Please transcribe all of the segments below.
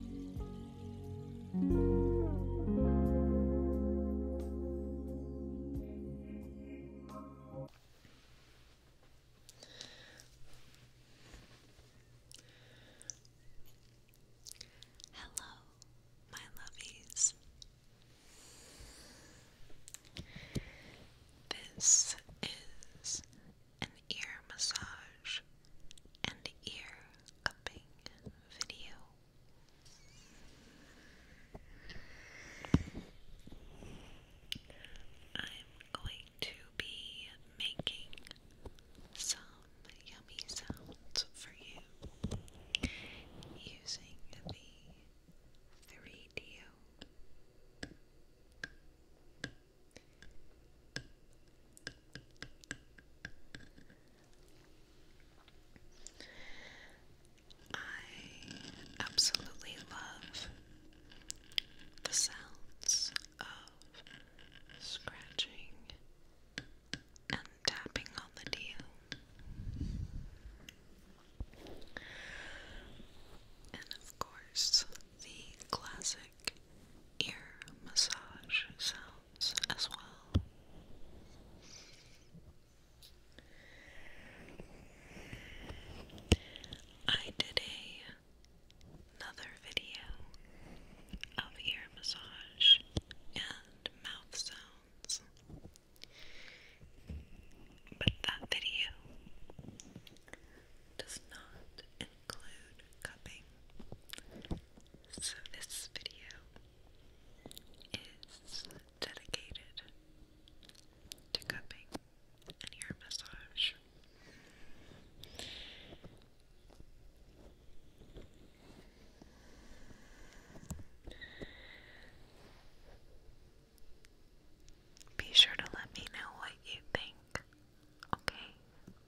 Hello, my lovies. This is ear massage and ear cupping video. I'm going to be making some yummy sounds for you using the 3 I absolutely love the sounds of scratching and tapping on the deal. And of course, the classic ear massage sounds as well. I did another video of ear massage and mouth sounds. But that video does not include cupping. So this video is dedicated to cupping and ear massage. Be sure to let me know what you think, okay?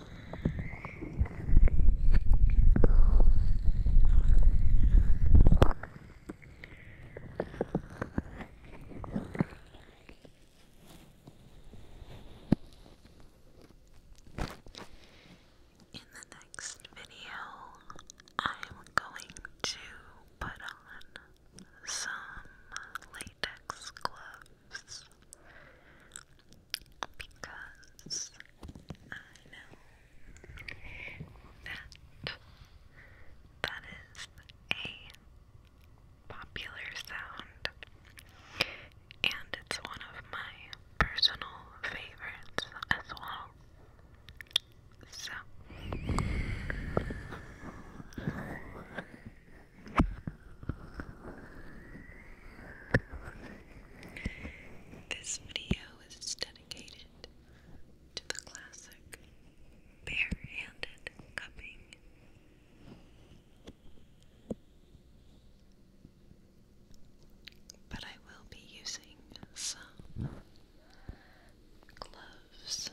In the next video, I'm going to put on some latex gloves because I know that that is a popular sound and it's one of my personal favorites as well. So this video is dedicated to the classic bare-handed cupping. But I will be using some gloves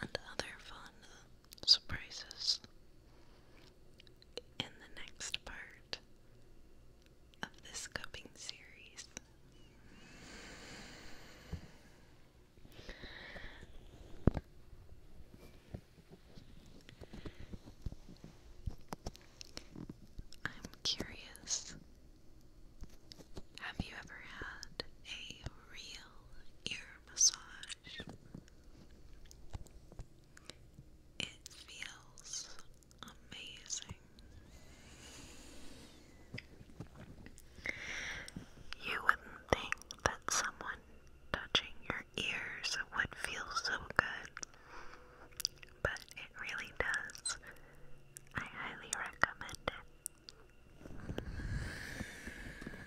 and other fun surprises in the next part of this cupping series. I'm curious. Have you ever had a real ear massage? brush. It feels amazing. You wouldn't think that someone touching your ears would feel so good, but it really does. I highly recommend it.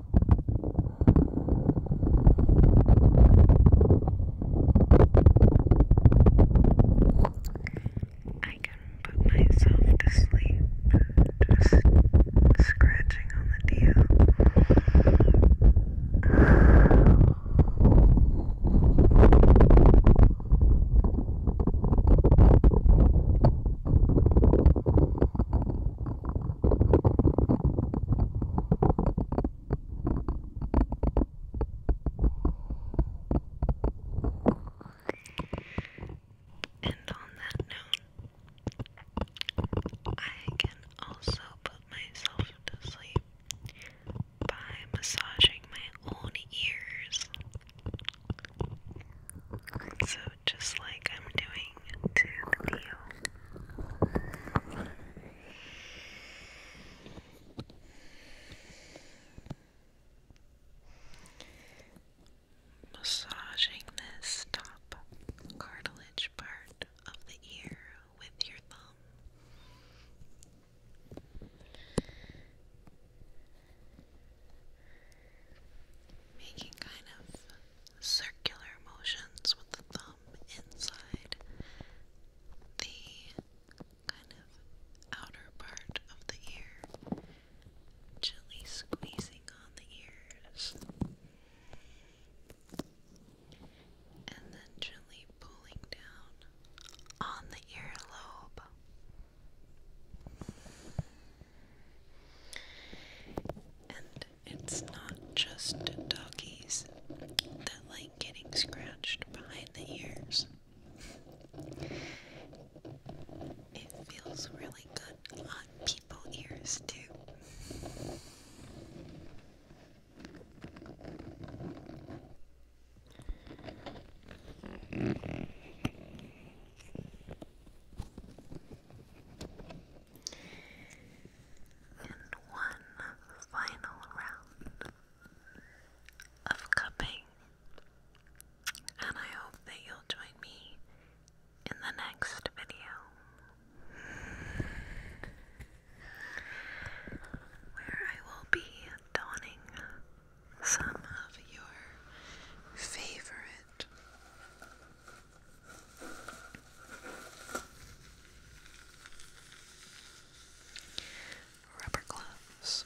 I can put myself to sleep just scratching on the deal. And on that note, I can also put myself to sleep by massaging my own ears. So, just like I'm doing to the meal. Massaging this top cartilage part of the ear with your thumb making kind of circular motions with the thumb inside the kind of outer part of the ear, gently squeezing on the ears, and then gently pulling down on the earlobe. And it's not just doggies that like getting scratched behind the ears. It feels really good on people ears too. And one final round of cupping. And I hope that you'll join me in the next video. Where I will be donning some of your favorite Rubber gloves.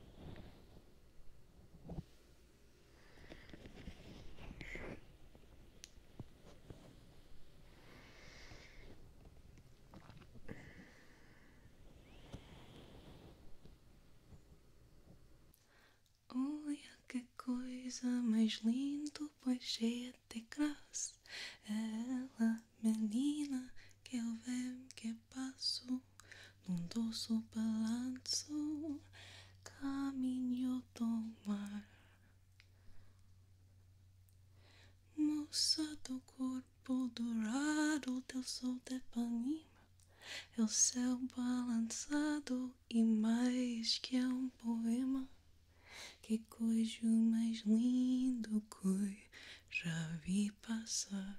Olha que coisa mais linda, pois cheia de graça. Ela menina que eu vejo que passo num doce balanço caminho do mar moça do corpo dourado teu sol de panima é o céu balançado e mais que é um poema que coiso mais lindo que já vi passar